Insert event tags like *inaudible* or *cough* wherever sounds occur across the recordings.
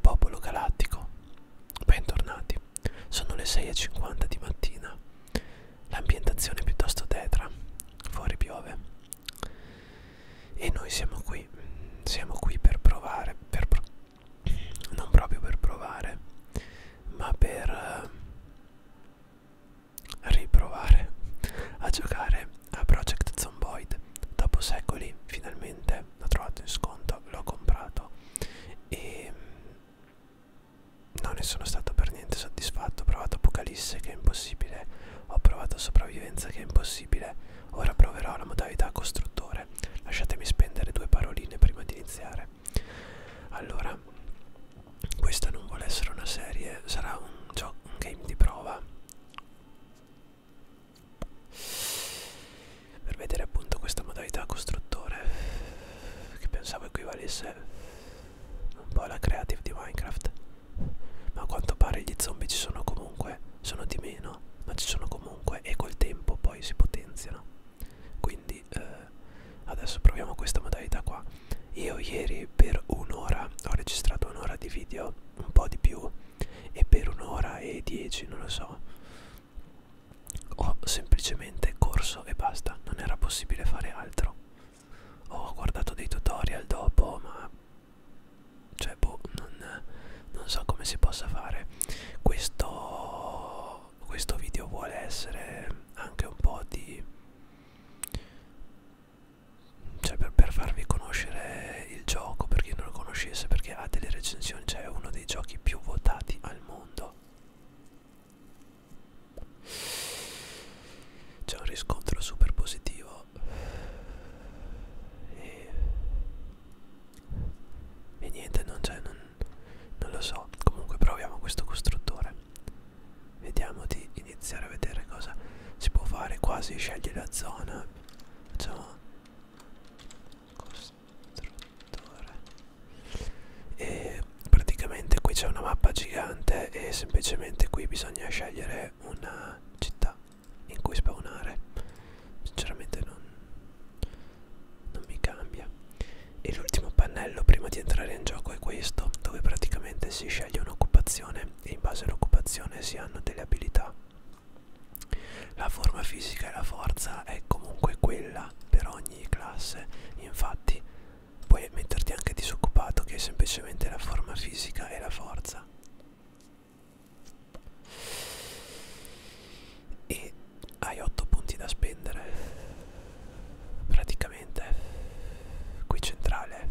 Popolo galattico, bentornati. Sono le 6.50 di mattina. L'ambientazione è piuttosto tetra, fuori piove. E noi siamo qui, siamo qui per provare, per pro non proprio per provare, ma per eh, riprovare a giocare a Project Zomboid dopo secoli finalmente perché l'ho trovato in sconto, l'ho comprato e non ne sono stato per niente soddisfatto. Ho provato Apocalisse che è impossibile, ho provato Sopravvivenza che è impossibile, ora proverò la modalità costruttore. Lasciatemi spendere due paroline prima di iniziare. Allora, questa non vuole essere una serie, sarà un, un game di prova per vedere appunto questa modalità costruttore che pensavo equivalesse un po' alla creative di Minecraft ma a quanto pare gli zombie ci sono comunque sono di meno ma ci sono comunque e col tempo poi si potenziano quindi eh, adesso proviamo questa modalità qua io ieri per un'ora ho registrato un'ora di video un po' di più e per un'ora e dieci non lo so ho semplicemente corso e basta, non era possibile fare altro. Ho guardato dei tutorial dopo, ma cioè boh, non, non so come si possa fare. Questo, questo video vuole essere anche un po' di cioè per, per farvi conoscere il gioco per chi non lo conoscesse perché ha delle recensioni, cioè è uno dei giochi più votati al mondo. C'è un riscontro super positivo e, e niente, non c'è, cioè, non, non lo so. Comunque proviamo questo costruttore. Vediamo di iniziare a vedere cosa si può fare. Quasi scegli la zona. Facciamo costruttore e praticamente qui c'è una mappa gigante e semplicemente qui bisogna scegliere una città in cui spawnare sinceramente non, non mi cambia e l'ultimo pannello prima di entrare in gioco è questo dove praticamente si sceglie un'occupazione e in base all'occupazione si hanno delle abilità la forma fisica e la forza è comunque quella per ogni classe, infatti puoi metterti anche disoccupato che è semplicemente la forma fisica e la forza. E hai 8 punti da spendere, praticamente, qui centrale.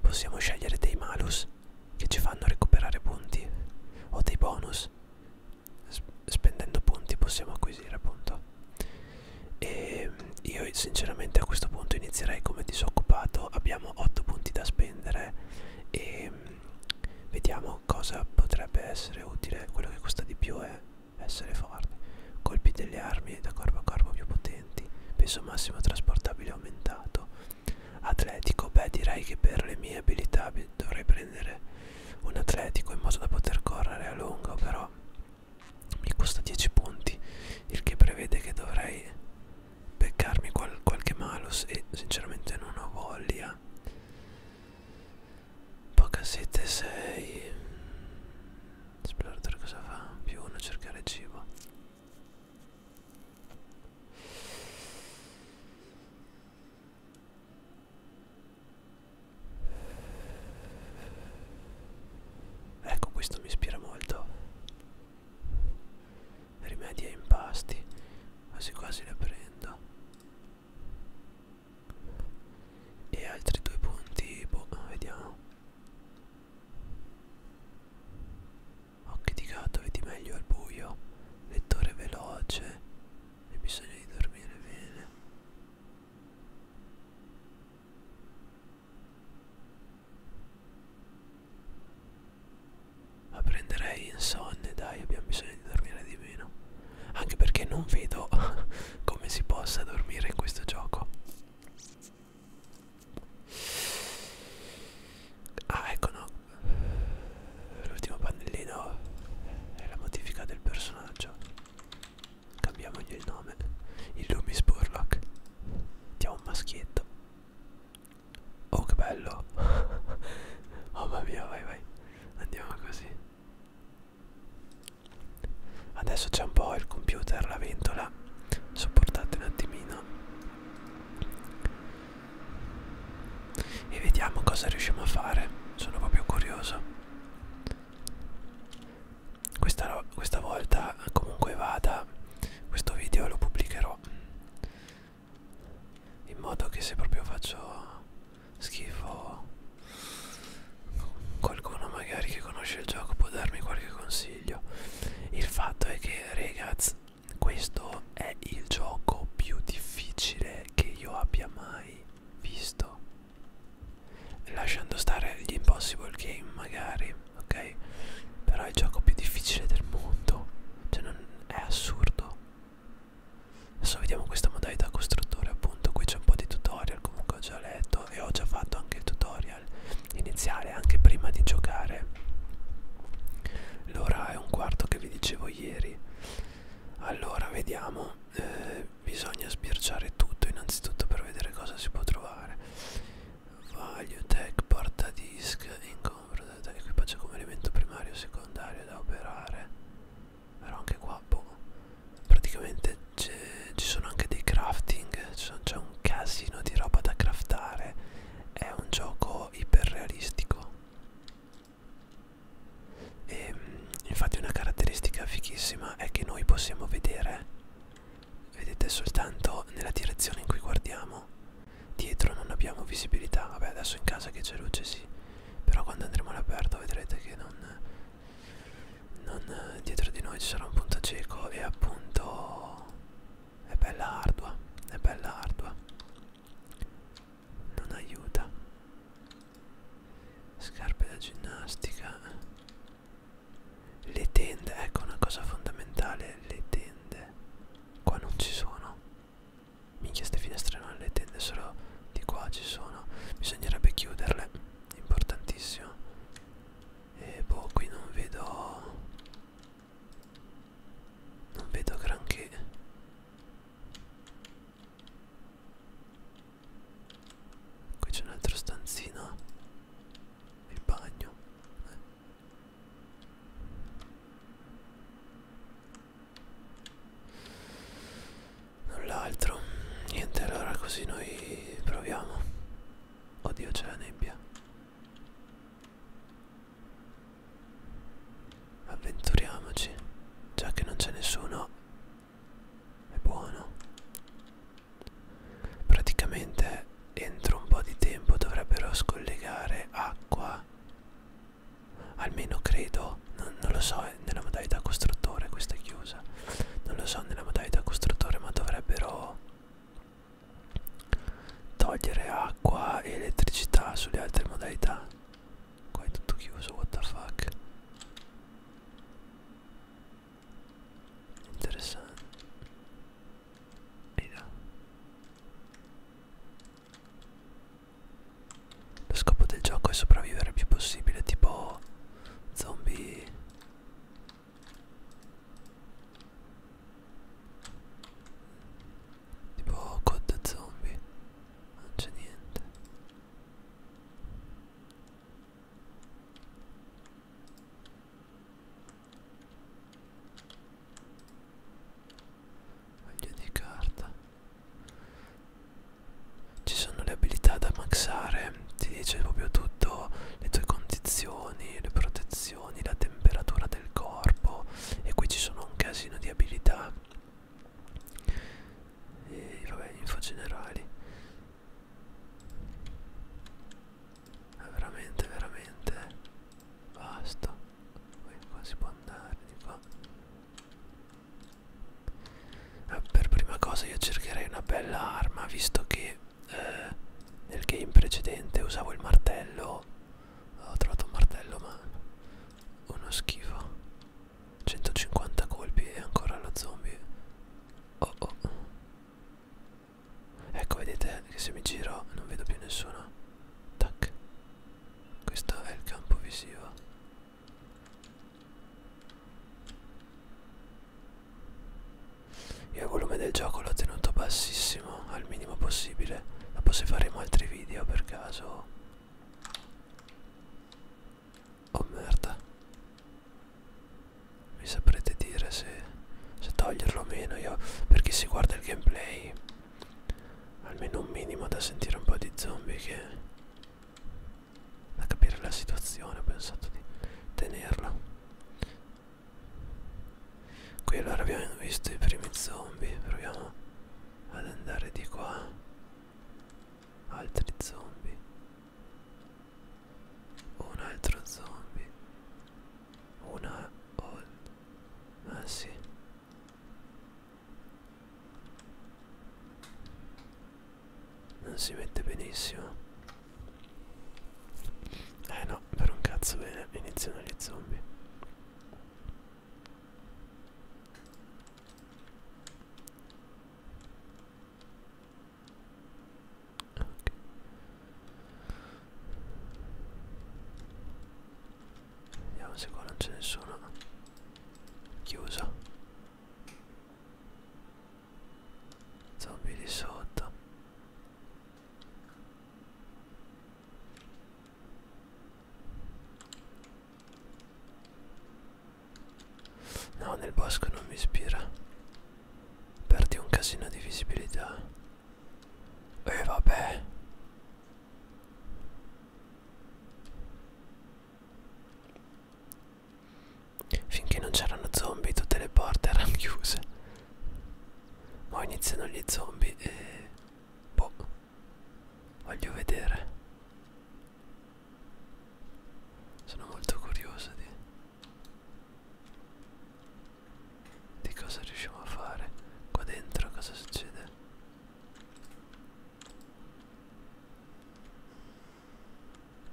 Possiamo scegliere dei malus che ci fanno recuperare punti o dei bonus spendendo punti possiamo acquisire appunto e io sinceramente a questo punto inizierei come disoccupato abbiamo 8 punti da spendere e vediamo cosa potrebbe essere utile quello che costa di più è essere forti colpi delle armi da corpo a corpo più potenti peso massimo trasportabile aumentato Atletico, beh direi che per le mie abilità dovrei prendere un atletico in modo da poter correre a lungo, però mi costa 10 punti, il che prevede che dovrei beccarmi qual qualche malus e sinceramente non ho voglia. Poca sete 6. Esploratore cosa fa? Più uno cercare cibo. Ecco questo mi ispira molto. Rimedi e impasti. Quasi quasi la prendo. E altri due punti. Boh, vediamo. Occhi di gatto, vedi meglio al buio. Lettore veloce. Hai bisogno di dormire bene. Ma prenderei insonne, dai, abbiamo bisogno di dormire di meno. Anche perché non vedo *laughs* come si possa dormire in questo gioco. Ah, ecco no, l'ultimo pannellino è la modifica del personaggio cambiamogli il nome illumis burlock diamo un maschietto oh che bello *laughs* oh mamma mia vai vai andiamo così adesso c'è un po' il computer la ventola sopportate un attimino e vediamo cosa riusciamo a fare sono proprio curioso questa, questa volta comunque vada questo video lo pubblicherò in modo che se proprio faccio schifo qualcuno magari che conosce il gioco può darmi qualche consiglio il fatto è che ragazzi questo è il gioco più difficile che io abbia mai visto lasciando stare gli impossible game magari ok però è il gioco più difficile del mondo cioè non è assurdo adesso vediamo questa modalità costruttore appunto qui c'è un po' di tutorial comunque ho già letto e ho già fatto anche il tutorial iniziale anche prima di giocare l'ora è un quarto che vi dicevo ieri allora vediamo eh, bisogna sbirciare tutto innanzitutto per vedere cosa si può trovare value tech porta disc incombro da equipaggio come elemento primario secondario da operare però anche qua boh, praticamente ci sono anche dei crafting c'è un casino di roba da craftare è un gioco iperrealistico e ehm, infatti una caratteristica fichissima è che noi possiamo vedere, vedete soltanto nella direzione in cui guardiamo, dietro non abbiamo visibilità, vabbè adesso in casa che c'è luce sì, però quando andremo all'aperto vedrete che non, non dietro di noi ci sarà un punto cieco e appunto è bella ardua, è bella ardua non aiuta scarpe da ginnastica le tende ecco una cosa fondamentale le tende qua non ci sono minchia ste finestre non le tende solo di qua ci sono bisognerebbe chiuderle importantissimo e boh qui non vedo non vedo granché Qui c'è un altro stanzino. Il bagno. Eh. Null'altro. Niente, allora così noi proviamo. Oddio, c'è la nebbia. Avventuriamoci, già che non c'è nessuno, è buono. Praticamente entro un po' di tempo dovrebbero scollegare acqua, almeno credo, non, non lo so, eh, nella modalità costruttore questa è chiusa, non lo so nella modalità costruttore ma dovrebbero togliere acqua e elettricità sulle altre modalità Qua è tutto chiuso, what the fuck Interessante Ehi là Lo scopo del gioco è sopravvivere il più possibile tipo zombie tipo cod zombie non c'è niente Foglia di carta ci sono le abilità da maxare ti dice proprio tutto le tue condizioni le protezioni la temperatura del corpo e qui ci sono un casino di abilità e eh, vabbè info generali è veramente veramente basta poi qua si può andare di qua eh, per prima cosa io cercherei una bella arma visto che eh, nel game precedente usavo il martello ho trovato un martello ma uno schifo 150 colpi e ancora lo zombie oh oh ecco vedete che se mi giro non vedo più nessuno tac questo è il campo visivo io il volume del gioco l'ho tenuto bassissimo al minimo possibile dopo se faremo altri video per caso Oh merda Mi saprete dire se, se toglierlo o meno io Per chi si guarda il gameplay Almeno un minimo da sentire un po' di zombie che Da capire la situazione ho pensato di tenerlo Qui allora abbiamo visto i primi zombie Proviamo ad andare di qua altri zombie un altro zombie una old ah sì non si mette benissimo eh no per un cazzo bene iniziano gli zombie Okay. Vediamo se qua non c'è nessuno. Chiuso. Zombie di sotto. No, nel bosco non mi ispira. Perdi un casino di visibilità. E vabbè. Finché non c'erano zombie tutte le porte erano chiuse. Ma iniziano gli zombie e... Boh. Voglio vedere. Sono molto curioso di di cosa riusciamo a fare qua dentro, cosa succede.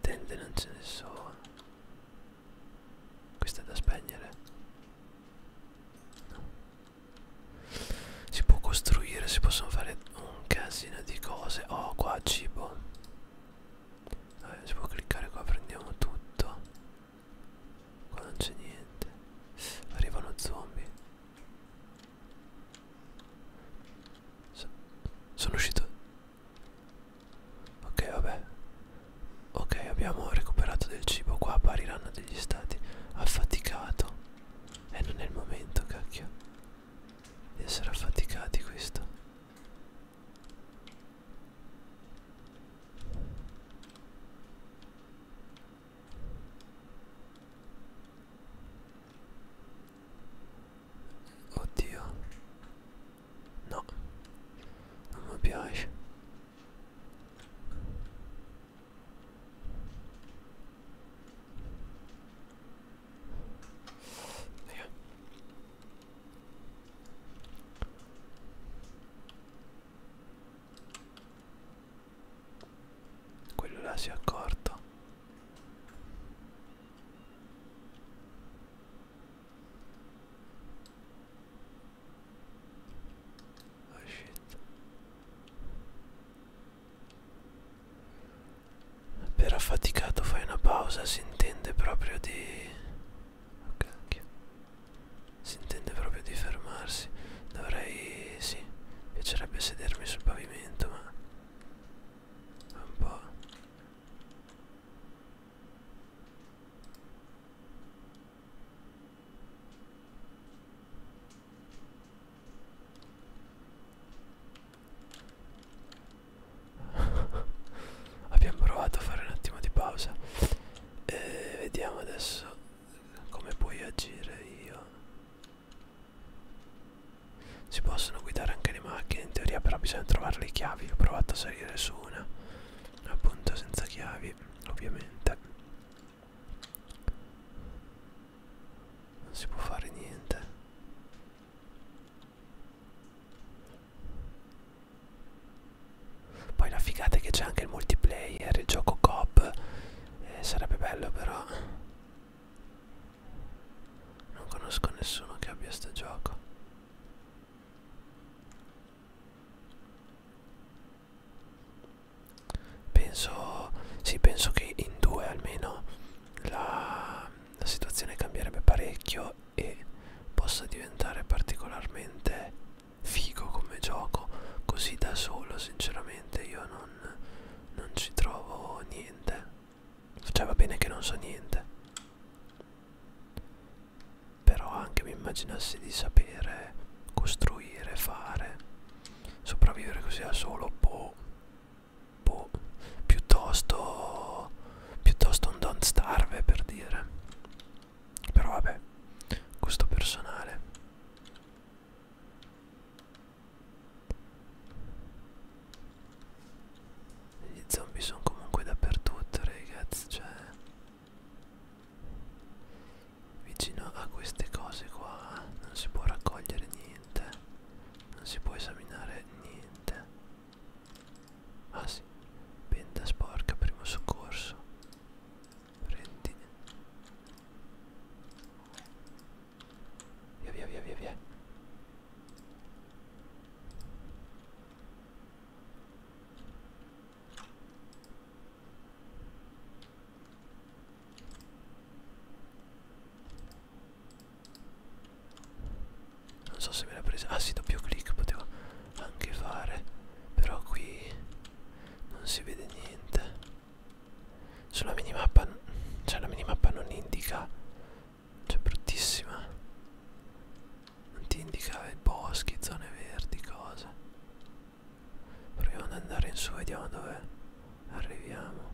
Tende non ce ne sono. Questo è da spegnere. No si può costruire si possono fare un casino di cose oh qua cibo Vabbè, si può cliccare qua prendiamo tutto qua non c'è niente arrivano zombie so sono uscito ok vabbè ok abbiamo recuperato del cibo qua appariranno degli stati affaticato e eh, non è il momento, cacchio. Di essere affaticati questo. Oddio. No. Non mi piace. Via. Quello là si è accorto. Oh shit. Per affaticato fai una pausa, si intende proprio di... Okay, oh, si intende proprio di fermarsi. Dovrei... sì, piacerebbe sedermi sul pavimento, ma... Un po'... *laughs* Abbiamo provato a fare un attimo di pausa e vediamo adesso come puoi agire io. Si possono guidare anche le macchine in teoria, però bisogna trovare le chiavi. Ho provato a salire su una, appunto senza chiavi, ovviamente non si può fare niente poi la figata è che c'è anche il multiplayer il gioco cop eh, sarebbe bello però non conosco nessuno che abbia sto gioco penso sì penso che in due almeno la, la situazione cambierebbe parecchio e possa diventare particolarmente figo come gioco così da solo sinceramente io non, non ci trovo niente cioè va bene che non so niente però anche mi immaginassi di sapere costruire fare sopravvivere così da solo boh boh, piuttosto piuttosto un Don't Starve per dire però vabbè gusto personale gli zombie sono comunque dappertutto ragazzi cioè vicino a queste cose qua non si può raccogliere niente niente non si può esaminare niente ah sì penta sporca primo soccorso prendi via via via via via non so se me l'ha presa ah sì doppio clic potevo anche fare però qui non si vede niente sulla minimappa cioè la minimappa non indica cioè bruttissima non ti indica boschi zone verdi cose proviamo ad andare in su vediamo dove arriviamo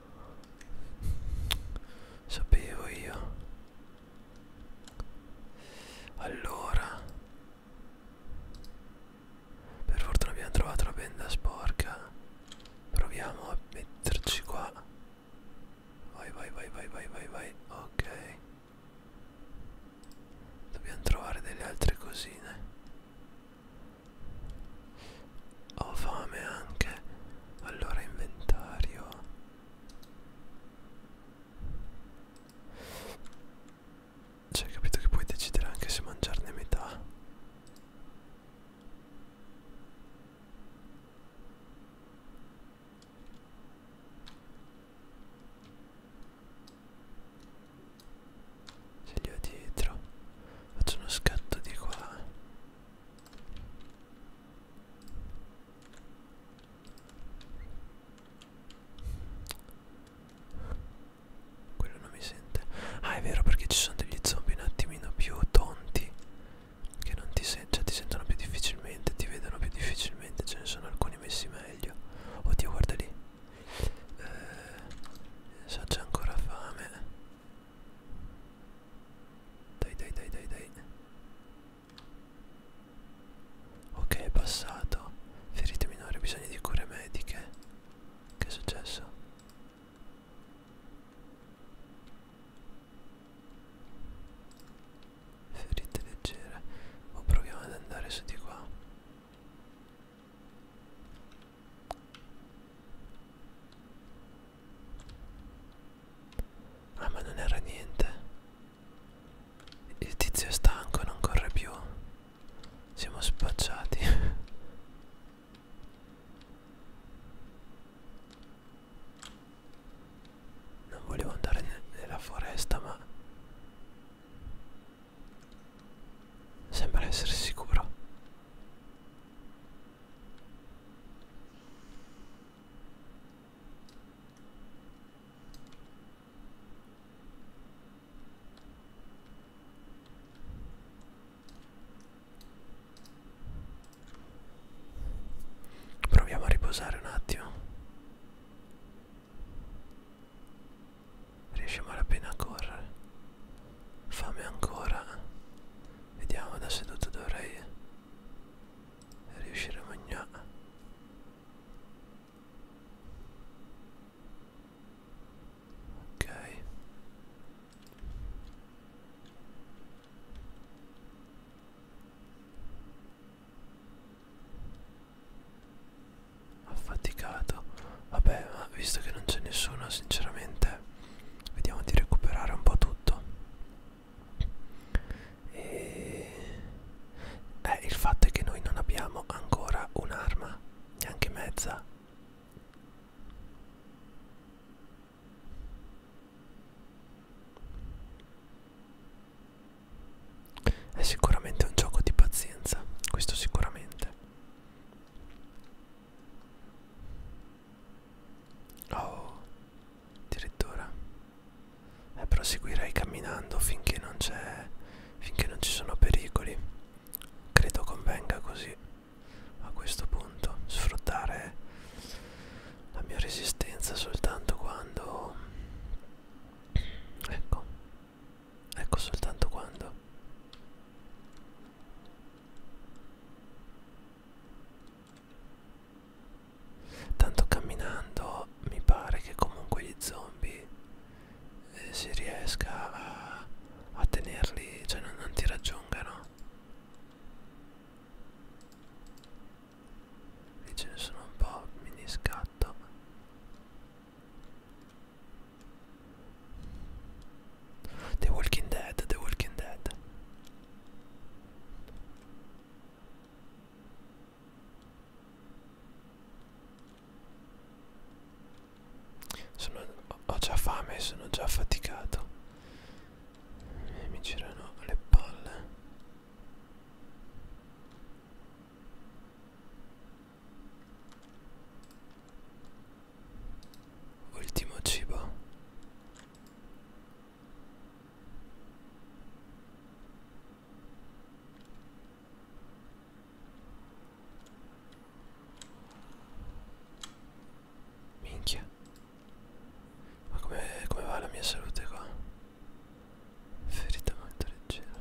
Sapevo io. Allora. Per fortuna abbiamo trovato la benda sporca. Proviamo a metterci qua. Vai, vai, vai, vai, vai, vai, vai. Ok. Dobbiamo trovare delle altre cosine. Ho fame anche. Allora inventario. Cioè, hai capito che puoi decidere anche se mangiarne metà. Ce li ho dietro. Faccio uno scatto di qua. Quello non mi sente. Ah, è vero perché ci sono degli zombie un attimino più tonti che non ti sentono, cioè ti sentono più difficilmente, ti vedono più difficilmente, ce ne sono alcuni messi meglio. Oddio, guarda lì. Eh, so c'è ancora fame. Dai, dai, dai, dai, dai. Ok, è passato. Ferite minore, bisogno di cure mediche. Che è successo? Ferite leggere. O oh, proviamo ad andare su di qua. Ah ma non era niente Il tizio è stanco non corre più Siamo spacciati *laughs* Non volevo andare nella foresta ma Sembra essere sicuro Proviamo a riposare un attimo. Riesciamo appena a correre. Fame ancora. Vediamo da seduto dovrei riuscire a mangiare. Ok. Affaticato. Vabbè, ma visto che non c'è nessuno, sinceramente vediamo di recuperare un po' tutto e eh, il fatto è che noi non abbiamo ancora un'arma neanche mezza è sicuramente un gioco di pazienza questo sicuramente Oh, addirittura. E eh, proseguirei camminando finché non c'è. finché non ci sono pericoli. Credo convenga così a questo punto sfruttare la mia resistenza soltanto quando. Ecco, ecco soltanto quando. Tanto camminando mi pare che comunque gli zombie eh, si riesca a, a tenerli, cioè non, non ti raggiungano. Lì ce ne sono un po' mini scatto. The Walking Dead, The Walking Dead. Sono, ho già fame, sono già affaticato. E mi girano le palle. Ultimo cibo. Minchia. Ma come, come va la mia salute qua? Ferita molto leggera.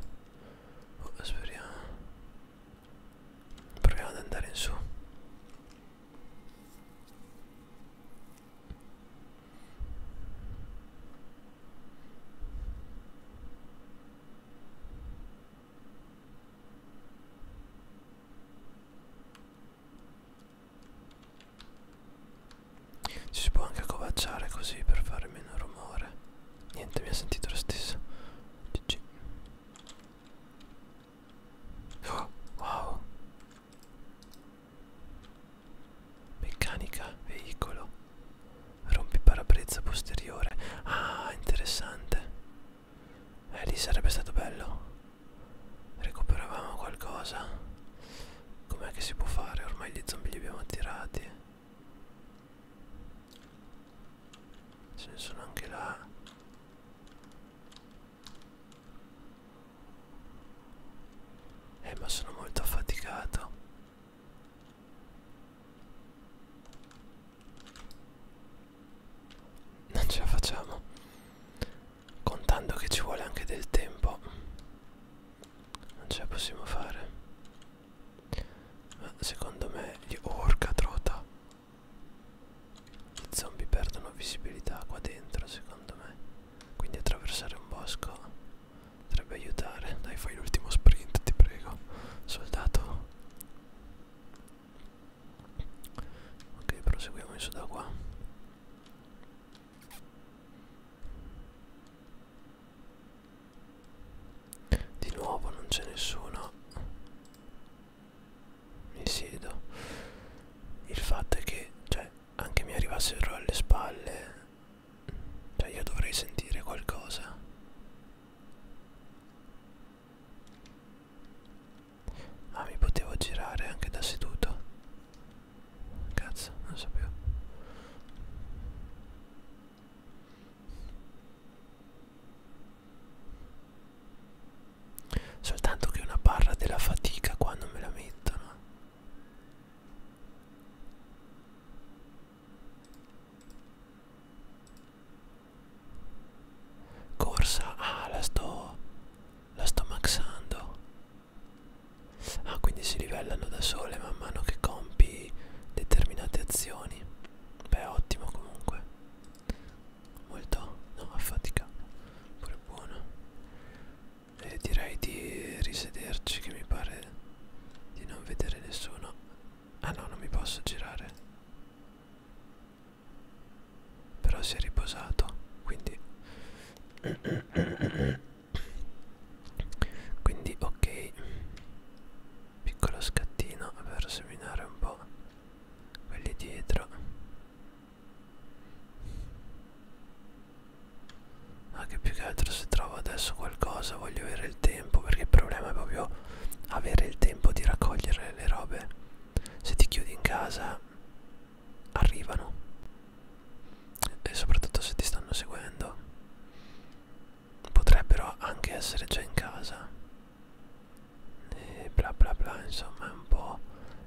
Oh, speriamo. Proviamo ad andare in su. Ci si può anche covacciare così per fare meno rumore. Niente, mi ha sentito lo stesso. GG. Wow. Meccanica, veicolo. Rompiparabrizza posteriore. Ah, interessante. Eh, lì sarebbe stato bello. Recuperavamo qualcosa. Com'è che si può fare? Ormai gli zombie li abbiamo attirati. Ce ne sono anche là. Eh ma sono molto affaticato Non ce la facciamo Contando che ci vuole anche del tempo Non ce la possiamo fare Ma secondo me gli... Orca trota gli zombie perdono visibilità qua dentro secondo me Quindi attraversare un bosco potrebbe aiutare Dai fai l'ultimo sprint ti prego Soldato Ok proseguiamo in su da qua di nuovo non c'è nessuno mi siedo il fatto è che cioè anche mi arrivassero alle spalle cioè io dovrei sentire qualcosa ah mi potevo girare anche da seduto cazzo non sapevo Soltanto che una barra della fatica qua non me la mettono. Corsa, ah la sto, la sto maxando. Ah quindi si livellano da sole man mano che compi determinate azioni. Beh ottimo comunque molto no affaticante pure buono e direi di risederci che mi pare di non vedere nessuno ah no non mi posso girare però si è riposato quindi *coughs* quindi ok piccolo scattino per seminare un po' quelli dietro anche più che altro se trovo adesso qualcosa voglio avere il tempo perché il problema è proprio avere il tempo di raccogliere le robe se ti chiudi in casa arrivano e soprattutto se ti stanno seguendo potrebbero anche essere già in casa e eh, bla bla bla insomma è un po',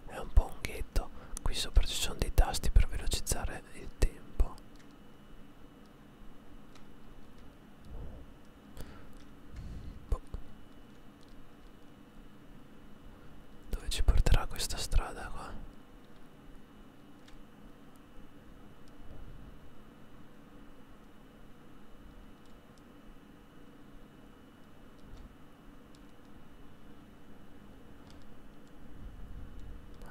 è un, po un ghetto qui sopra ci sono dei tasti per velocizzare il tempo boh. dove ci porterà questa strada qua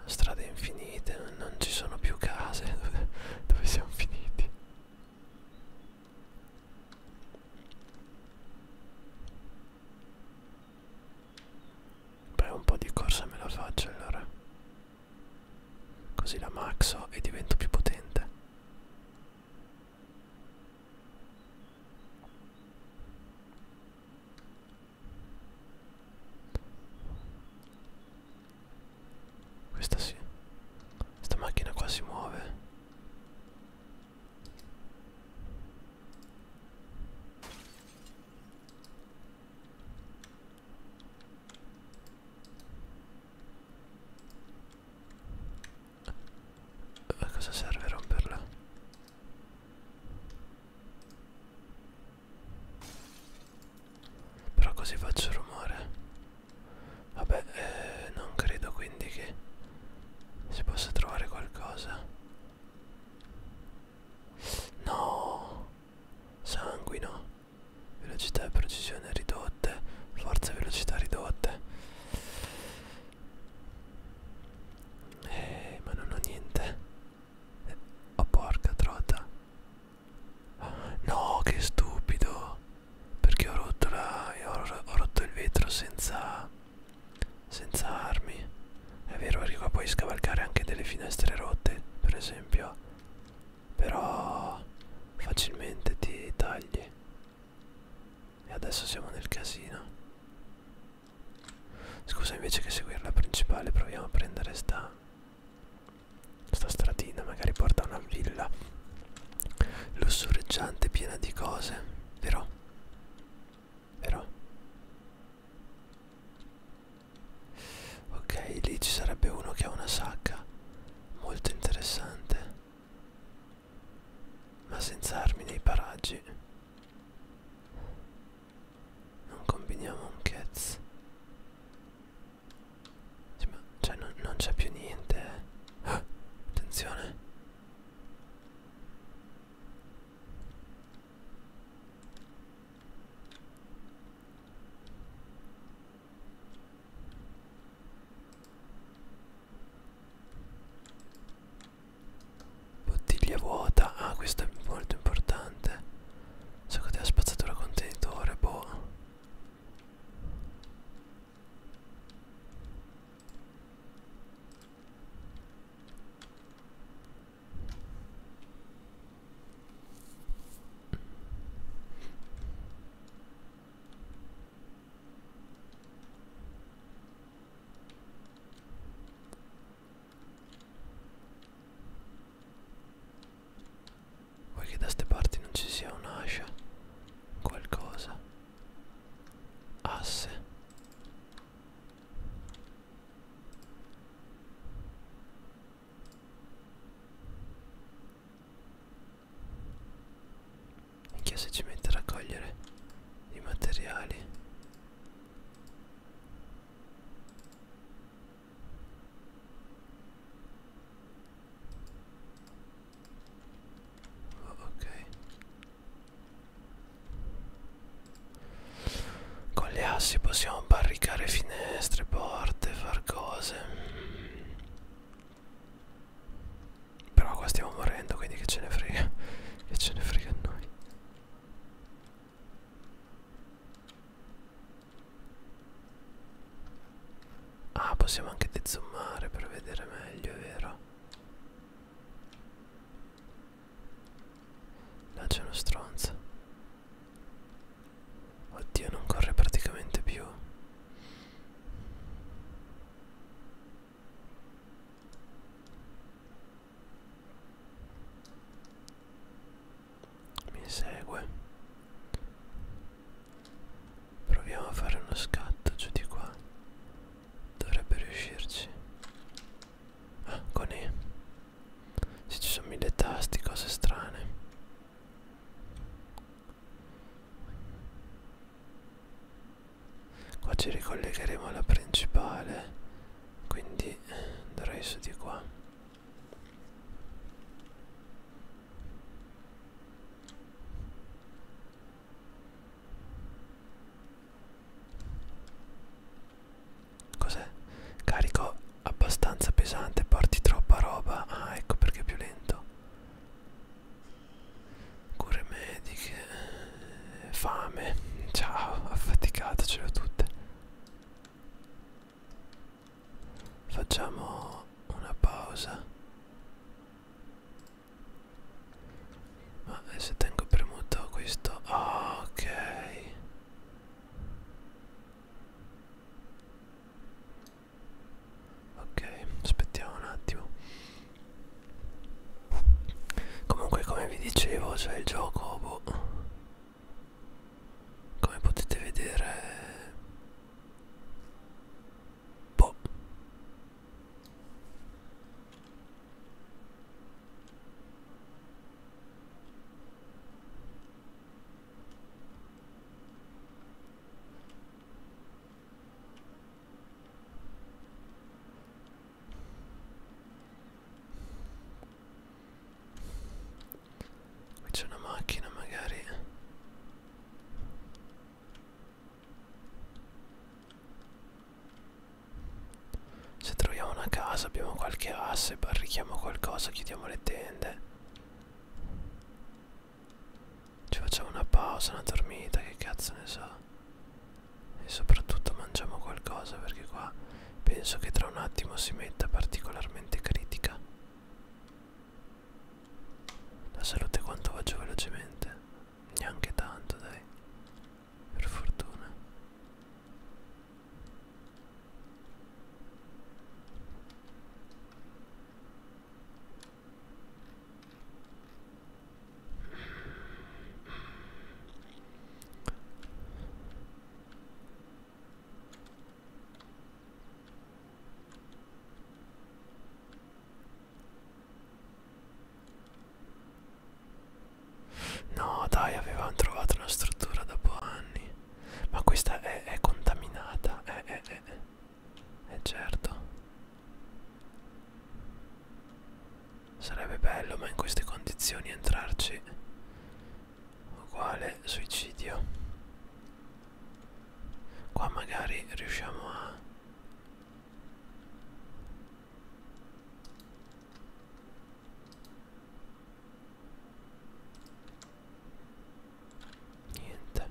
Strade infinite, non ci sono più case dove, *laughs* dove siamo finiti. Beh, un po' di corsa me la faccio allora. Così la maxo e divento più potente. Questa sì. Questa macchina qua si muove. A cosa serve romperla? Però così faccio rumore. Vabbè, eh, non credo quindi che si possa trovare qualcosa. No! Sanguino. Velocità e precisione ridotte. Forza e velocità ridotte. Eh, ma non ho niente. Eh, oh porca trota. No, che stupido. Perché ho rotto, la, ho, ho rotto il vetro senza, senza armi. È vero perché qua puoi scavalcare anche delle finestre rotte, per esempio. Però facilmente ti tagli. E adesso siamo nel casino. Scusa, invece che seguire la principale, proviamo a prendere sta, sta stratina, magari porta a una villa lussureggiante piena di cose, vero? Vero? Ok, lì ci sarebbe uno che ha una sacca molto interessante ma senza armi nei paraggi non combiniamo un cazzo sì, cioè, ma cioè non, non c'è più niente eh. ah, attenzione Bottiglia vuota, ah questa è molto importante. Sacco della spazzatura contenitore, boh. Vuoi che da ste parti non ci sia un'ascia? Qualcosa? Asse? Anche se ci mette a raccogliere i materiali. Oh, ok. Con le assi possiamo barricare finestre, porte, far cose. Però qua stiamo morendo quindi che ce ne frega Che ce ne frega a noi Ah possiamo anche dezoomare per vedere meglio è vero Là c'è uno stronzo Oddio non corre praticamente più mi segue proviamo a fare uno scatto giù di qua dovrebbe riuscirci ah con E se ci sono mille tasti cose strane qua ci ricollegheremo alla principale quindi andrei su di qua cos'è? carico abbastanza pesante porti troppa roba ah ecco perché è più lento cure mediche, fame, ciao, affaticatecelo tutte. Facciamo una pausa. Ma se tengo premuto questo... Oh, ok. Ok, aspettiamo un attimo comunque come vi dicevo cioè il gioco boh, come potete vedere boh Qui c'è una macchina magari se troviamo una casa abbiamo qualche asse barrichiamo qualcosa chiudiamo le tende ci facciamo una pausa una dormita che cazzo ne so e soprattutto mangiamo qualcosa perché qua penso che tra un attimo si metta particolarmente critica la salute quanto va giù velocemente neanche tanto dai per fortuna No dai avevamo trovato una struttura dopo anni ma questa è, è contaminata eh eh eh eh certo Sarebbe bello ma in queste condizioni entrarci uguale suicidio. Qua magari riusciamo a... Niente.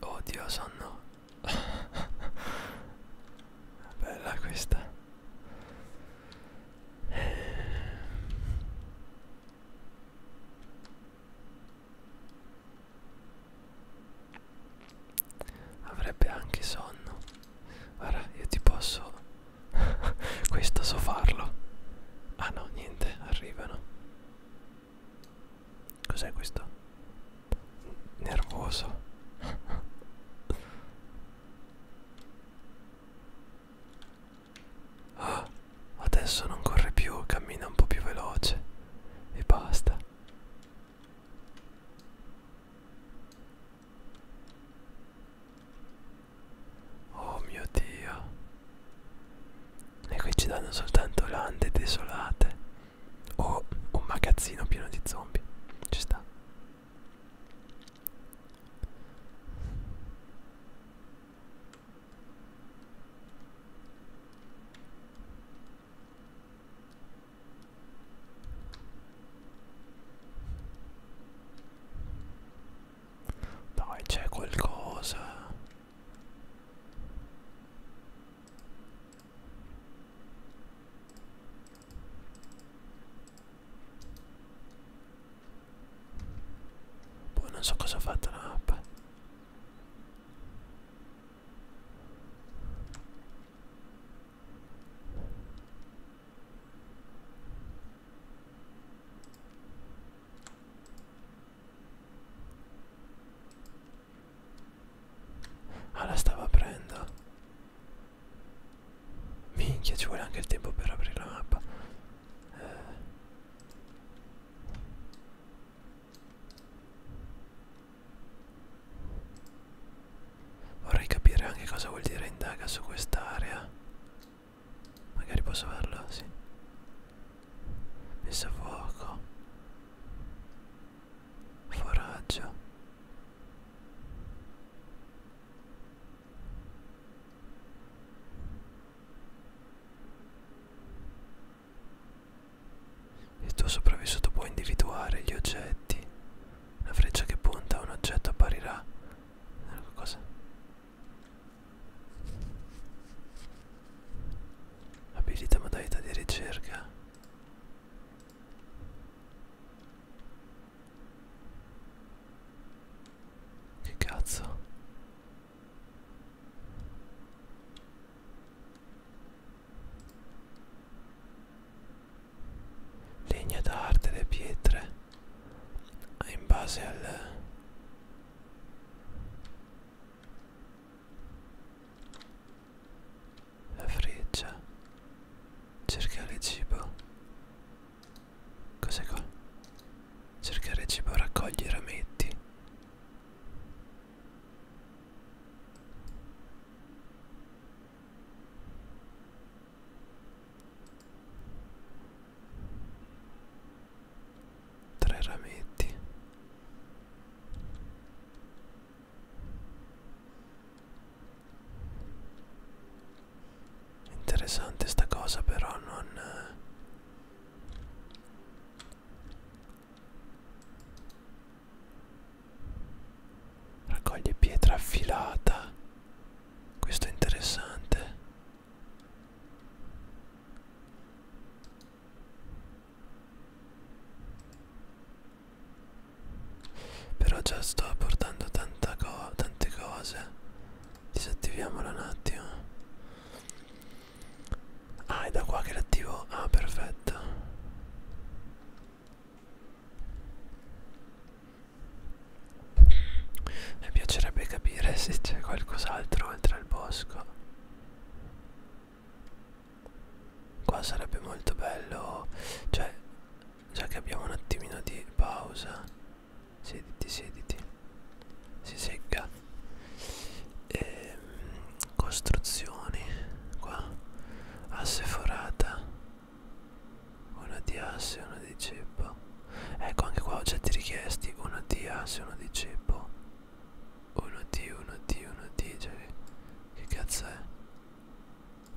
Oddio, sonno. *laughs* Bella questa. Avrebbe anche sonno. Guarda, io ti posso... *laughs* Questo so farlo. Ah no, niente, arrivano. Cos'è questo? Nervoso. *laughs* Ah, adesso non corre più, cammina un po' più veloce e basta. Oh mio Dio. E qui ci danno soltanto lande desolate. O oh, un magazzino pieno di zombie. Ci sta. Dai, c'è qualcosa. Poi non so cosa ha fatto la mappa. Ah la stavo aprendo Minchia ci vuole anche il tempo per aprire la mappa eh. Vorrei capire anche cosa vuol dire indaga su quest'area Magari posso farlo, sì Messa a fuoco Foraggio il tuo sopravvissuto può individuare gli oggetti. Una freccia che punta a un oggetto apparirà. Cosa? Abilita modalità di ricerca. Che cazzo? Legna d'arte, le pietre, ah, in base al... La freccia cercare cibo Cos'è qua? Cercare cibo, raccogli rametti. Tre rametti. Interessante sta cosa però non... Eh, raccoglie pietra affilata. Questo è interessante. Però già sto portando tanta co tante cose disattiviamola un attimo ah è da qua che l'attivo ah perfetto mi piacerebbe capire se c'è qualcos'altro oltre al bosco qua sarebbe molto bello cioè già che abbiamo un attimino di pausa Siediti, siediti. Si segga. E, ehm, costruzioni. Qua. Asse forata. Una di asse, una di ceppo. Ecco anche qua oggetti richiesti. Una di asse, una di ceppo. Uno di, uno di, uno di. Cioè, che cazzo è?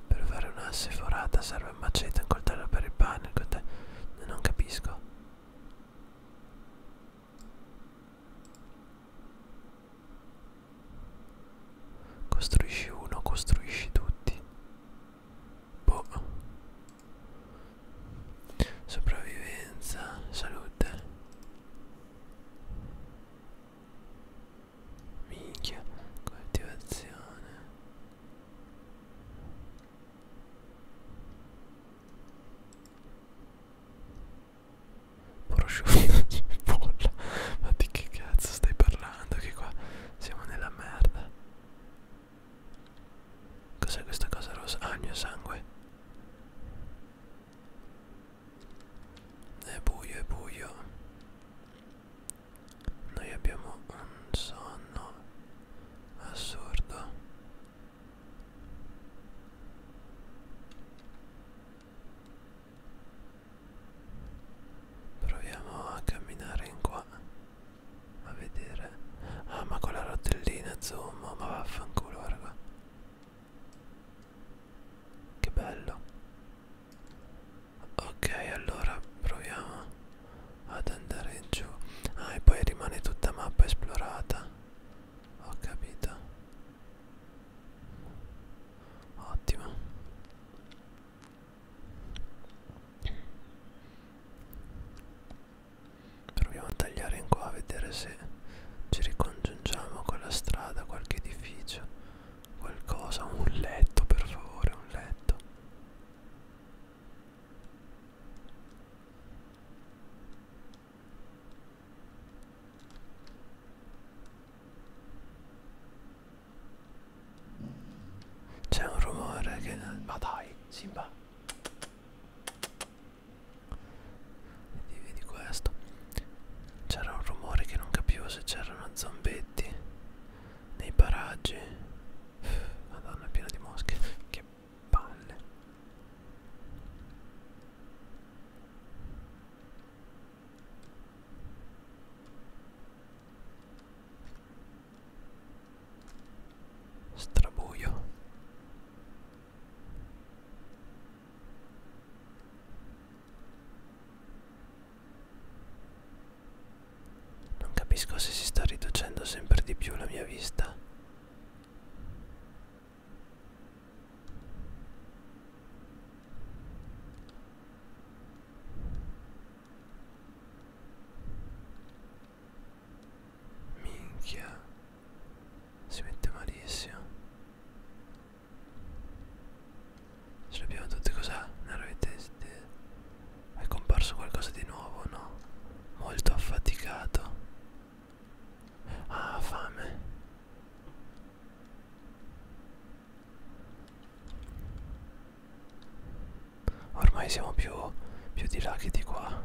Per fare un'asse forata serve un macete, un coltello per il pane, il coltello non capisco costruisci uno costruisci tutti boh sopravvivenza salute minchia coltivazione Prosciutto di *laughs* bolla. Ma di che cazzo stai parlando? Che qua siamo nella merda. Cos'è questa cosa rosa? Ah, il mio sangue. È buio, è buio. Noi abbiamo un sonno assurdo proviamo a camminare in qua a vedere ah ma con la rotellina zoom ma vaffanculo raga che bello ok allora proviamo ad andare giù ah e poi rimane tutta mappa esplorata ho capito ottimo proviamo a tagliare in qua a vedere se ci ricongiungiamo con la strada qualche edificio qualcosa un letto per favore un letto c'è un rumore che... Ma dai, Simba! Vedi, vedi questo. C'era un rumore che non capivo se c'erano zombetti nei paraggi Madonna, è pieno di mosche. Che palle. Strabuio. Non capisco se si sta riducendo sempre di più la mia vista. Minchia, si mette malissimo. Ce l'abbiamo tutti cos'ha? Una rete è comparso qualcosa di nuovo, no? Molto affaticato. Ah, fame. Ormai siamo più, più di là che di qua.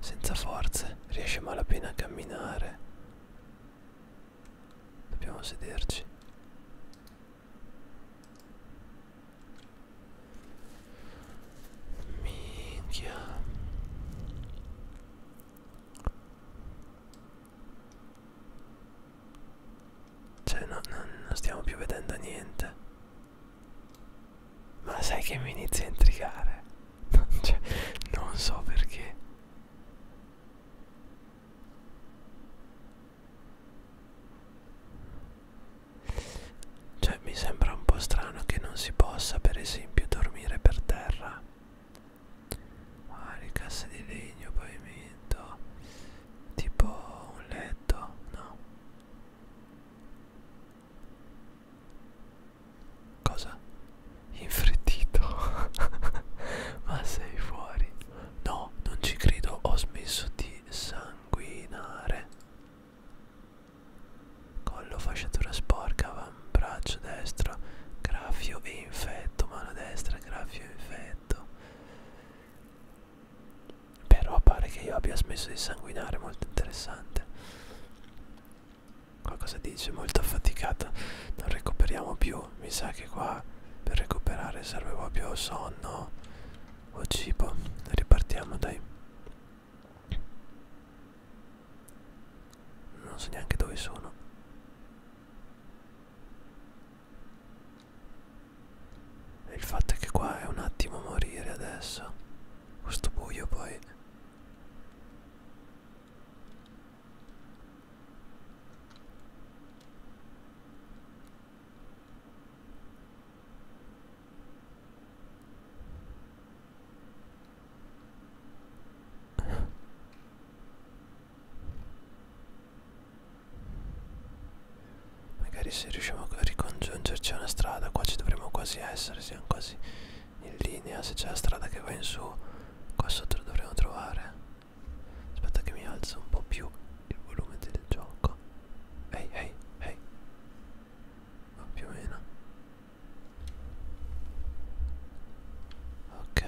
Senza forze riesce malapena a camminare. Dobbiamo sederci. Minchia. Cioè no, no, non stiamo più vedendo niente. Ma sai che mi inizia a intrigare? *laughs* cioè, non so perché. Cioè mi sembra un po' strano che non si possa per esempio dormire per terra. Ah, le casse di legno, pavimento, tipo un letto, no? Cosa? Infrettito? *laughs* Ma sei fuori? No, non ci credo, ho smesso di sanguinare. Collo, fasciatura sporca, avambraccio destro, grafio e infetto, mano destra, grafio e infetto. Però pare che io abbia smesso di sanguinare, molto interessante. Qualcosa dice, molto affaticato, non recuperiamo più boh, mi sa che qua per recuperare serve proprio sonno o cibo. Ripartiamo dai. Non so neanche dove sono. E il fatto è che qua è un attimo morire adesso. Questo buio poi. Magari se riusciamo a ricongiungerci a una strada, qua ci dovremmo quasi essere, siamo quasi in linea, se c'è la strada che va in su, qua sotto lo dovremmo trovare. Aspetta che mi alzo un po' più il volume del gioco. Ehi, ehi, ehi. Ma più o meno. Ok.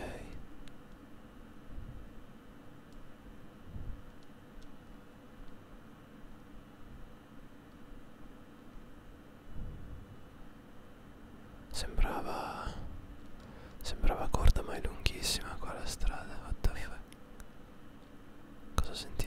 Sembrava Sembrava corta ma è lunghissima qua la strada, what the fuck. Cosa ho sentito?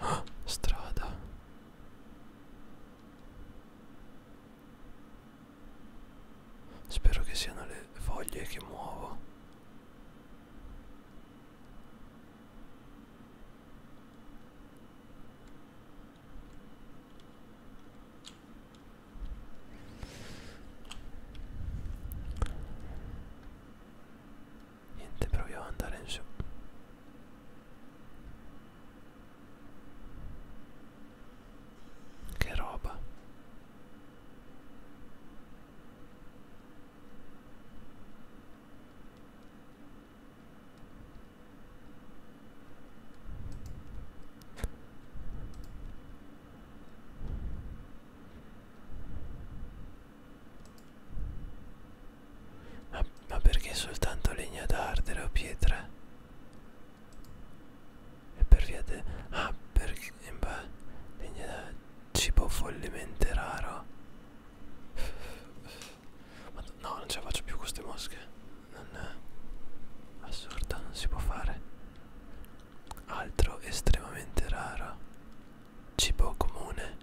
Ah, *gasps* strada. Spero che siano le foglie che muovo niente proviamo ad andare in su che roba ma, ma perché soltanto legna d'ardere o pietra? E per via de... Ah, perché... Beh, legna da... cibo follemente raro. Madonna, no, non ce la faccio più con queste mosche. Non... Assurda, non si può fare altro estremamente rara, cibo comune.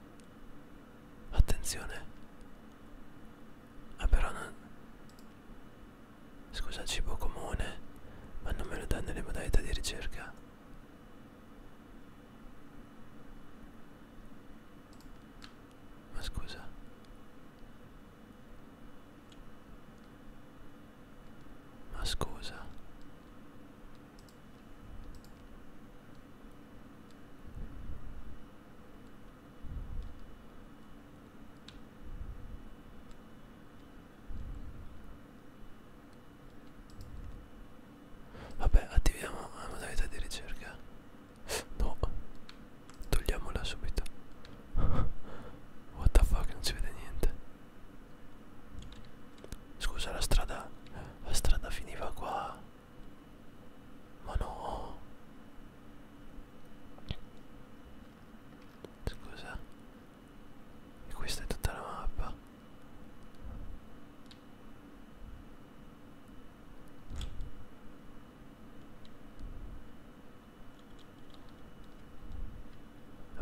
Attenzione. Ah però non... Scusa, cibo comune, ma non me lo danno le modalità di ricerca. Ma scusa. Ma scusa. Vabbè, attiviamo la modalità di ricerca. No, boh. togliamola subito. *laughs* What the fuck, non si vede niente. Scusa la strada, la strada finiva qua. Ma no. Scusa. E questa è tutta la mappa.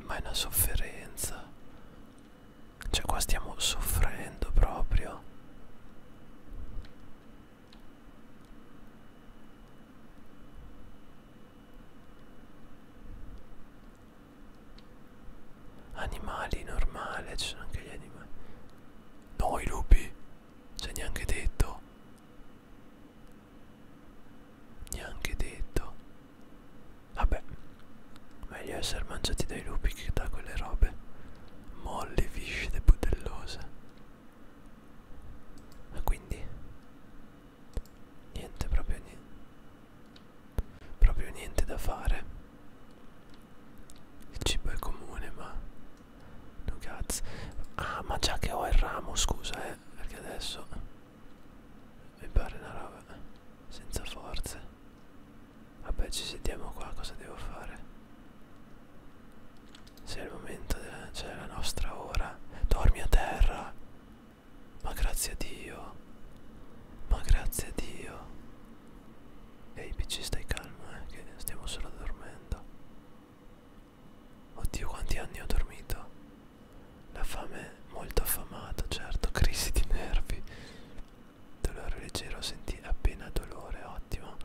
Ma è una sofferenza. Cioè qua stiamo soffrendo proprio. Animali normale, ci sono anche gli animali. No, i lupi. C'è cioè, neanche detto. Neanche detto. Vabbè, meglio essere mangiati dai lupi che da quelle robe molli, viscide, budellose. Ma quindi, niente proprio niente, proprio niente da fare. Il cibo è comune, ma no cazzo. Ah, ma già che ho il ramo, scusa, eh, perché adesso mi pare una roba senza forze vabbè ci sediamo qua cosa devo fare se è il momento della, cioè la nostra ora dormi a terra ma grazie a dio ma grazie a dio ehi pc stai calmo eh che stiamo solo dormendo oddio quanti anni ho dormito la fame molto affamata, certo, *laughs* crisi di nervi. Dolore leggero, sentì appena dolore, ottimo.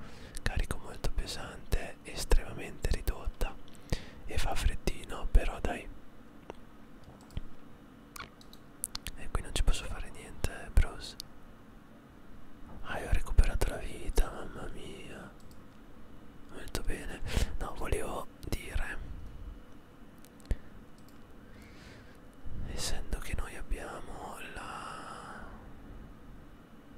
Carico molto pesante, estremamente ridotta. E fa freddino, però dai. E qui non ci posso fare niente, eh, bros. Ah, io ho recuperato la vita, mamma mia. Molto bene. No, volevo dire essendo che noi abbiamo la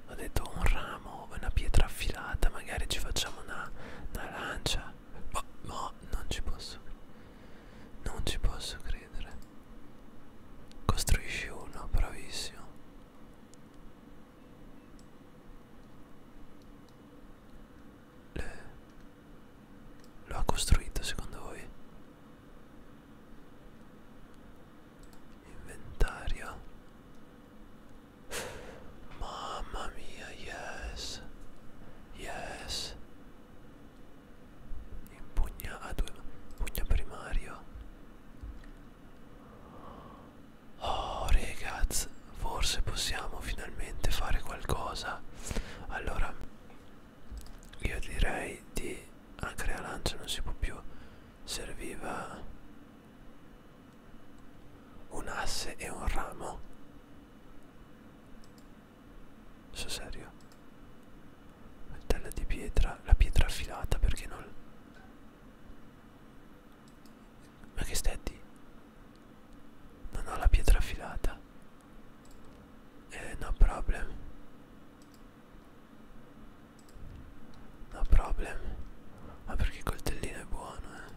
ho detto un ramo una pietra affilata magari ci facciamo una, una lancia ma oh, no, non ci posso non ci posso credere costruisci uno bravissimo le lo ha costruito secondo voi? Inventario. Mamma mia, yes. Yes. Impugna a due impugna primario. Oh, ragazzi, forse possiamo finalmente fare qualcosa. Allora io direi di anche la lancia non si può più serviva un asse e un ramo sul serio metalla di pietra la pietra affilata perché non ma che stai a di non ho la pietra affilata. Eh, no problem. No problem. Ma ah, perché il coltellino è buono, eh?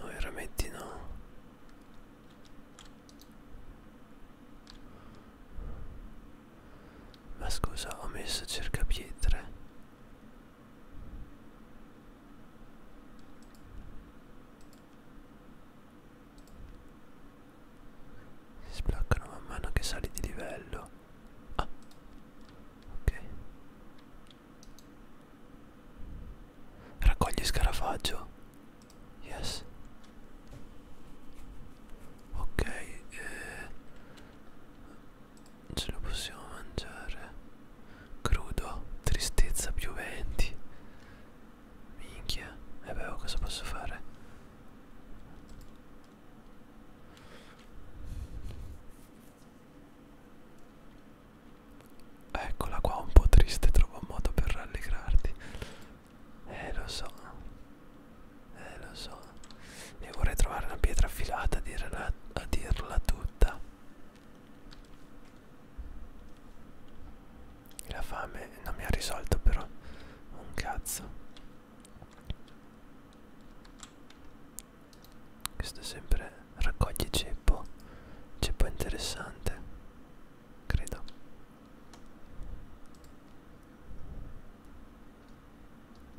No, veramente no. Ma scusa, ho messo cerca pietre. Si sbloccano man mano che sali di livello. Ah, ok. Raccogli scarafaggio. Yes. Ok. Eh ce lo possiamo mangiare crudo tristezza più 20 minchia e beh oh, cosa posso fare eccola qua un po' triste trova un modo per rallegrarti eh lo so eh lo so e vorrei trovare una pietra affilata a dirla, a dirla tutta. La fame non mi ha risolto però un cazzo. Questo è sempre raccoglie ceppo, ceppo interessante, credo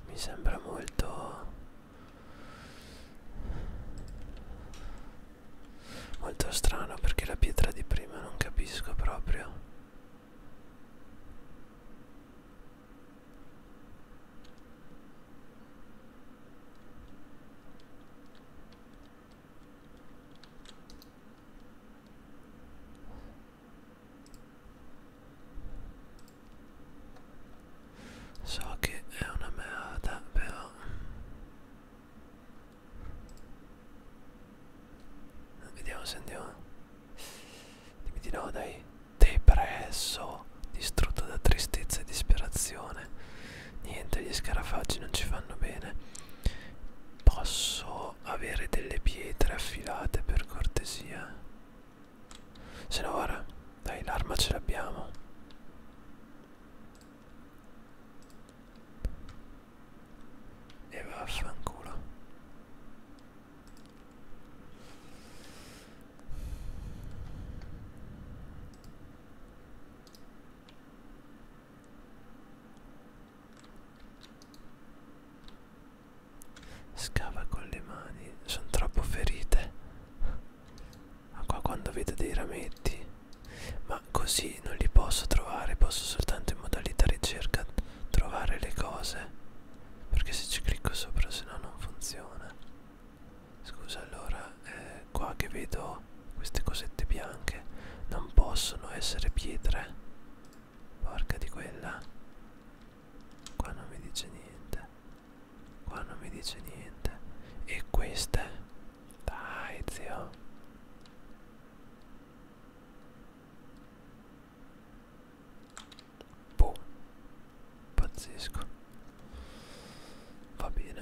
mi sembra molto molto strano perché la pietra di prima non capisco proprio So che è una merda, però vediamo se andiamo dimmi di no dai depresso distrutto da tristezza e disperazione niente gli scarafaggi non ci fanno bene posso avere delle pietre affilate per cortesia se no ora, dai, l'arma ce l'abbiamo. E vaffanculo. Scava con le mani, sono troppo ferite. Ma qua quando vedo dei rametti, ma così non li posso trovare, posso soltanto in modalità ricerca trovare le cose. Perché se ci clicco sopra se no non funziona. Scusa allora, eh, qua che vedo queste cosette bianche non possono essere pietre. Porca di quella. Qua non mi dice niente. Qua non mi dice niente. E queste? Dai, zio. Boh. Pazzesco. Va bene.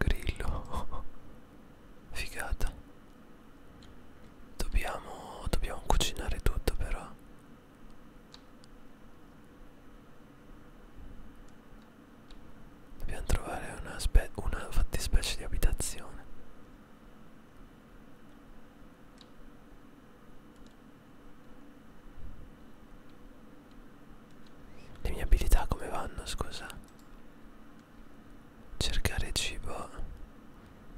Grillo *laughs* Figata Dobbiamo dobbiamo cucinare tutto però Dobbiamo trovare una, una fattispecie di abitazione. Le mie abilità come vanno, scusa? Cercare cibo.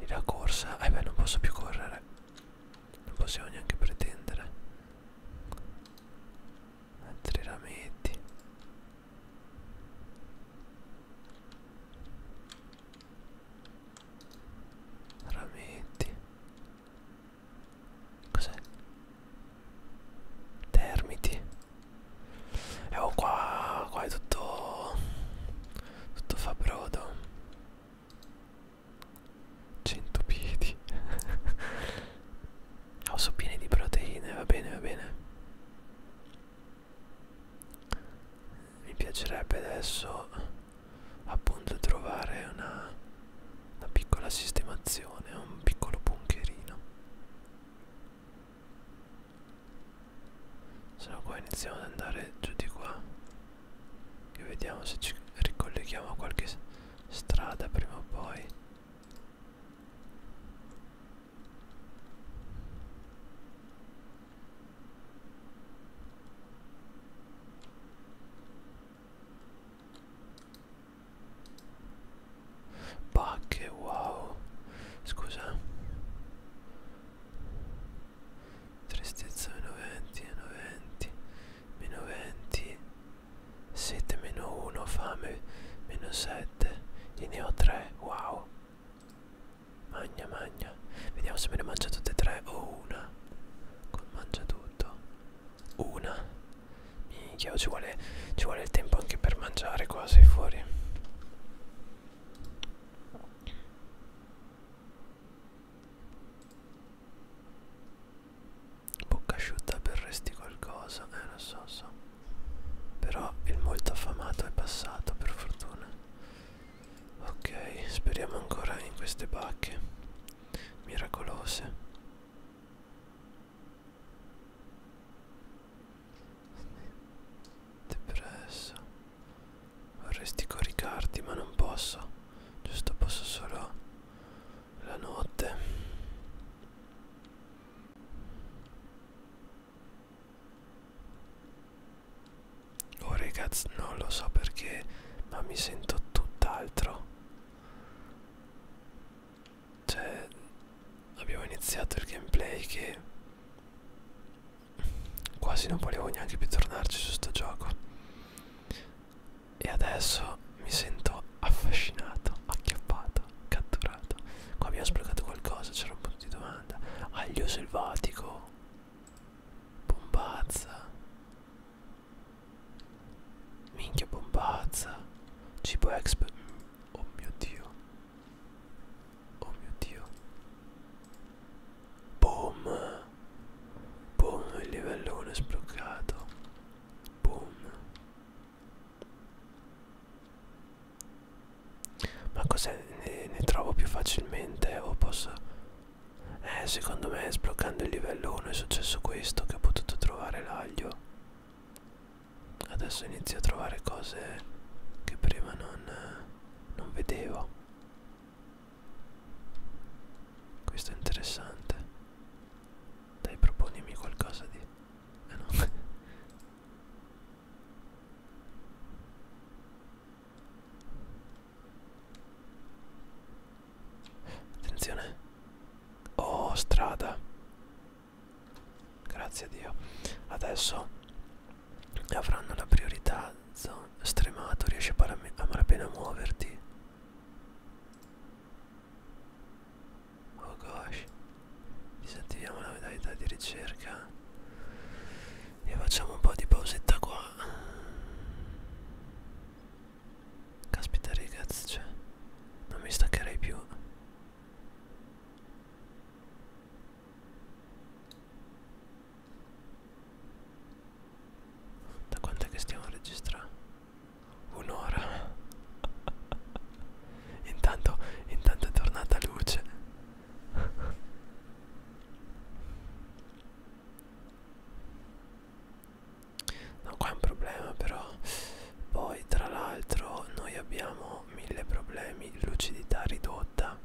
E la corsa. Eh beh, non posso più correre. Non possiamo neanche pretendere altri rametti rametti cos'è? termiti e eh, oh qua qua è tutto tutto fabrodo cento piedi *laughs* osso pieni di proteine va bene va bene mi piacerebbe adesso appunto trovare una, una piccola sistemazione un piccolo bunkerino se no qua iniziamo ad andare giù di qua che vediamo se ci ricolleghiamo a qualche strada prima o poi Bacche, wow. Scusa. Tristezza meno 20, meno 20, meno 20, 7 meno 1 fame meno 7 e ne ho 3 wow magna magna vediamo se me ne mangio tutte e tre o una con mangia tutto una minchia ci vuole ci vuole il tempo anche per mangiare qua sei fuori bocca asciutta per resti qualcosa eh lo so so però il molto affamato è passato per fortuna. Ok, speriamo ancora in queste bacche miracolose. Depresso. Vorresti coricarti ma non posso. Giusto posso solo la notte. Oh ragazzi, non lo so perché, ma mi sento tutt'altro. Cioè, abbiamo iniziato il gameplay che quasi non volevo neanche più tornarci su sto gioco. E adesso mi sento sono affascinato, acchiappato, catturato. Qua abbiamo sprecato qualcosa, c'era un punto di domanda. Aglio selvatico, bombazza, minchia bombazza, cibo exp. Mm, oh mio dio, oh mio dio, boom, boom, il livello 1 è sbloccato. Boom ma cos'è? Ne, ne trovo più facilmente o posso... Eh, secondo me sbloccando il livello 1 è successo questo che ho potuto trovare l'aglio. Adesso inizio a trovare cose che prima non, non vedevo. Questo è interessante. Dai, proponimi qualcosa di... Eh no. Attenzione. Oh, strada. Grazie a Dio. Adesso avranno la priorità. Stremato, riesci a malapena a muoverti. Oh gosh Disattiviamo la modalità di ricerca E facciamo un po' di pausetta qua Caspita ragazzi cioè Non mi staccherei più da quanto è che stiamo registrando? Un'ora *laughs* Intanto, intanto è tornata luce. No, qua è un problema però. Poi tra l'altro noi abbiamo mille problemi, lucidità ridotta.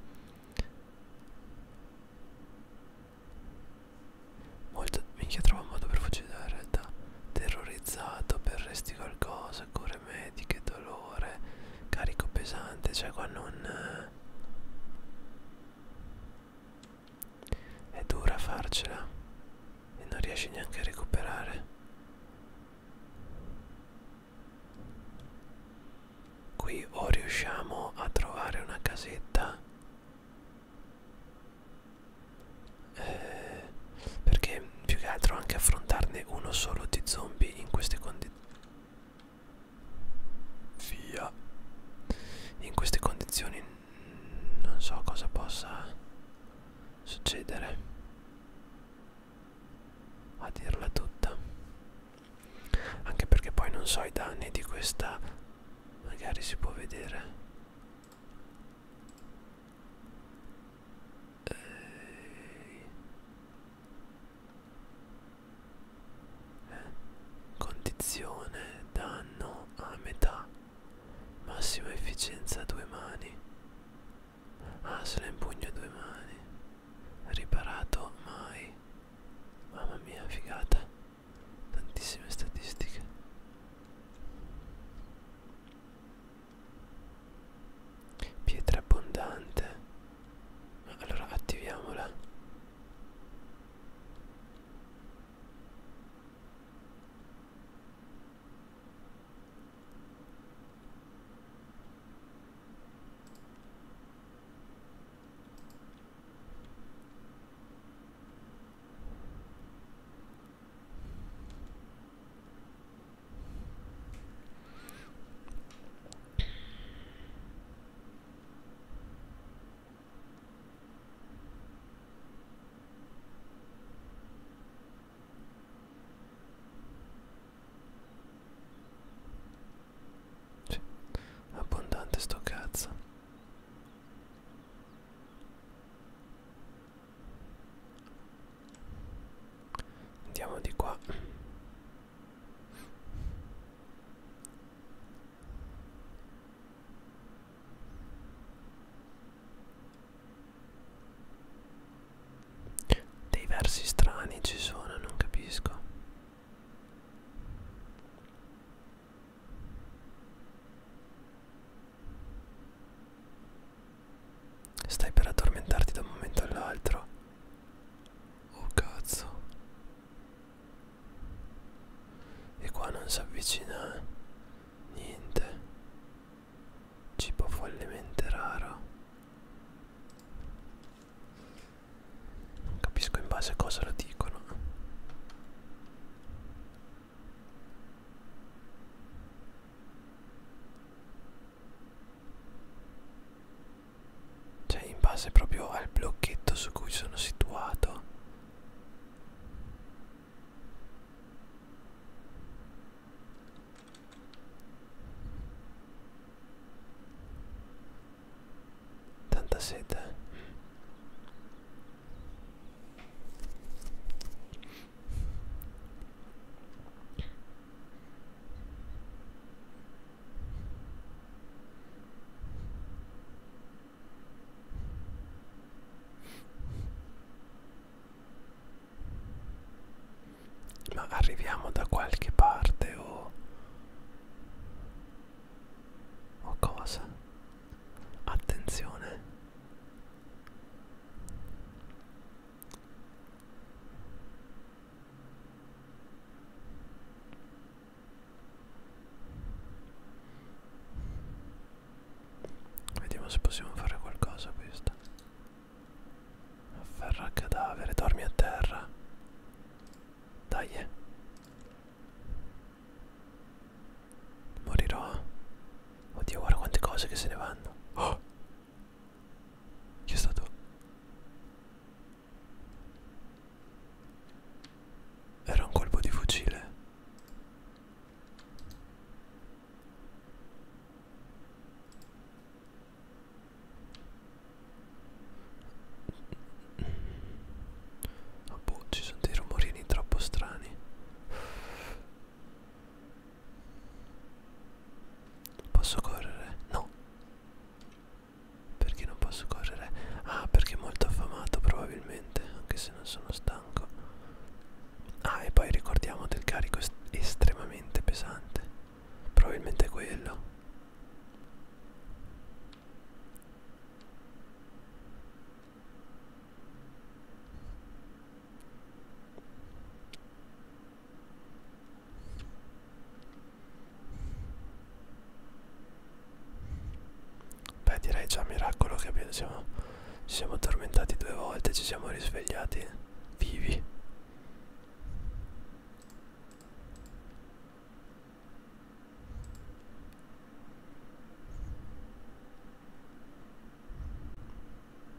Molto, minchia trovo un modo per fuggire in realtà. Terrorizzato, per resti qualcosa, cure mediche, dolore, carico pesante, cioè qua non... Eh, è dura farcela e non riesci neanche a recuperare. Qui o riusciamo a trovare una casetta eh, eh, perché più che altro anche affrontarne uno solo di zombie in queste condizioni via in queste condizioni non so cosa possa succedere a dirla tutta anche perché poi non so i danni di questa magari si può vedere Ehi. Eh. Condizione danno a metà. Massima efficienza a due mani. Ah, se la impugno a due mani. Riparato mai. Mamma mia, figata. Tantissime statistiche. Pietra abbondante. Allora attiviamola. Sì, abbondante sto cazzo Andiamo di qua. Dei versi strani ci sono, non capisco. Stai per addormentarti da un momento all'altro. Oh cazzo. E qua non si avvicina niente. Cibo follemente raro. Non capisco in base a cosa lo dicono cioè in base proprio al blocchetto su cui sono situato tanta sete ma arriviamo da qualche parte o... o cosa? Attenzione. Vediamo se possiamo fare qualcosa questa. Afferra cadavere, dormi a terra. Dai. Eh. Morirò. Oddio, guarda quante cose che se ne vanno. Oh, chi è stato? Era un colpo di fucile. Oh boh, ci sono dei rumorini troppo strani. Posso correre? No. Perché non posso correre? Ah, perché è molto affamato probabilmente, anche se non sono stanco. Ah, e poi ricordiamo del carico est estremamente pesante. Probabilmente è quello. Beh direi già miracolo che abbiamo, siamo, ci siamo addormentati due volte, ci siamo risvegliati vivi.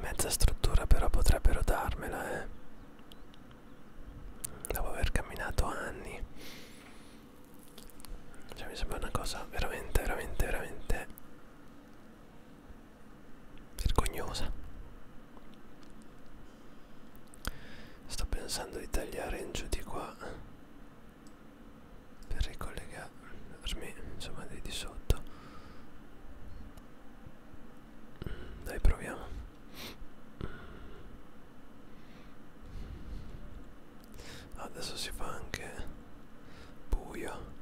Mezza struttura però potrebbero darmela, eh. Dopo aver camminato anni. Cioè mi sembra una cosa veramente, veramente, veramente vergognosa. Sto pensando di tagliare in giù di qua per ricollegarmi insomma di, di sotto mm, dai proviamo mm. adesso si fa anche buio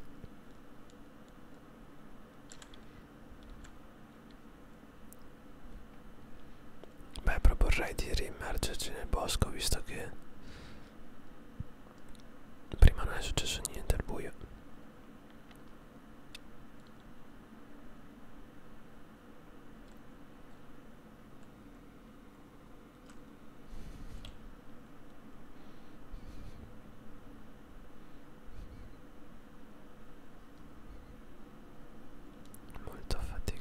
Beh, proporrei di rimergerci nel bosco visto che prima non è successo niente al buio molto affaticato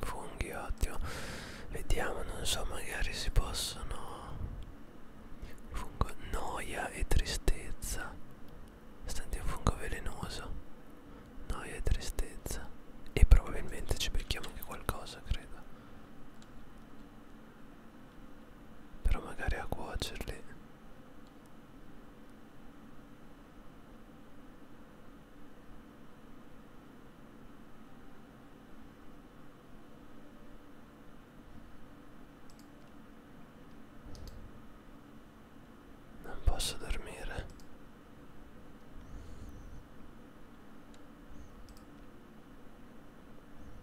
Funghi, ottimo. Vediamo, non so, magari si possono. Fungo noia e tristezza. Stanti un fungo velenoso. Noia e tristezza. E probabilmente ci becchiamo anche qualcosa, credo però magari a cuocerli non posso dormire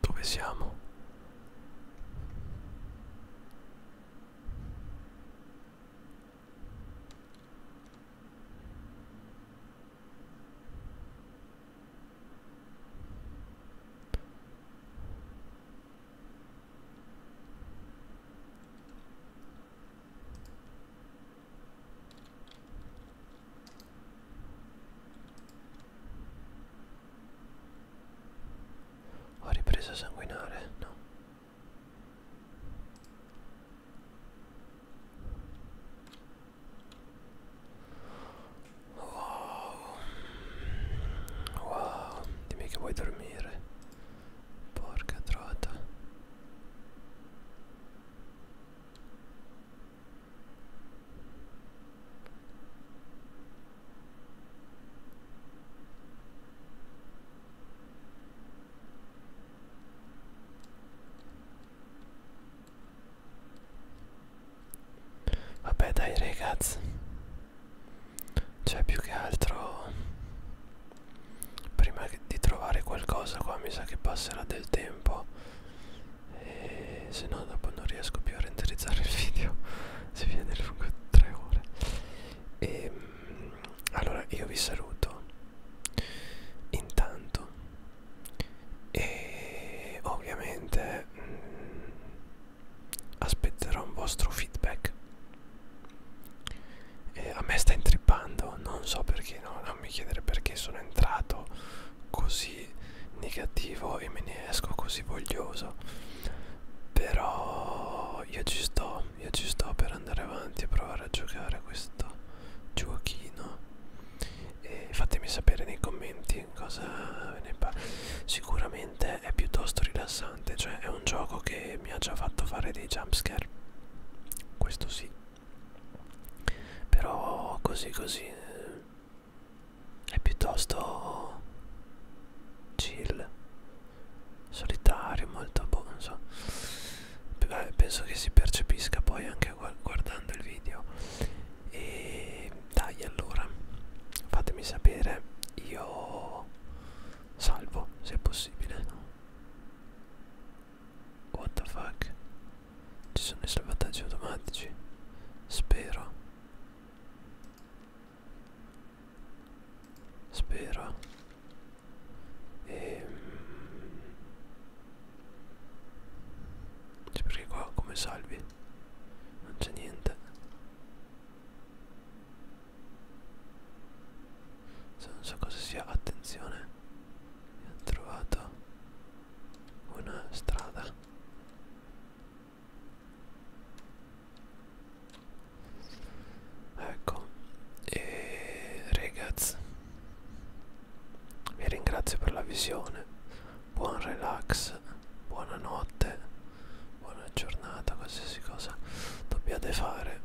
Dove siamo? Ho ripreso a sanguinare? No. Wow. Wow, dimmi che vuoi dormire. Porca trota. Vabbè dai ragazzi, c'è più che altro, prima di trovare qualcosa qua mi sa che passerà del tempo e se no dopo non riesco più a renderizzare il video *laughs* se viene lungo 3 ore e ehm, allora io vi saluto intanto e ovviamente mh, mm, aspetterò un vostro feedback e a me sta intrippando non so perché no non mi chiedere perché sono entrato così negativo e me ne esco così voglioso però io ci sto io ci sto per andare avanti e provare a giocare a questo giochino e fatemi sapere nei commenti cosa ve ne pare sicuramente è piuttosto rilassante cioè è un gioco che mi ha già fatto fare dei jumpscare questo sì però così così eh, è piuttosto chill solitario molto buono so. Beh, penso che si percepisca poi anche guardando il video e dai allora fatemi sapere io salvo se è possibile what the fuck ci sono i salvataggi automatici spero spero e ehm. sì, perché qua come salvi non c'è niente se non so cosa sia attenzione ho trovato una strada ecco e ragazzi vi ringrazio per la visione buon relax buonanotte buona giornata qualsiasi cosa dobbiate fare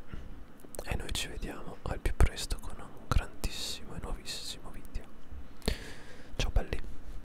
e noi ci vediamo al più presto con un grandissimo e nuovissimo video ciao belli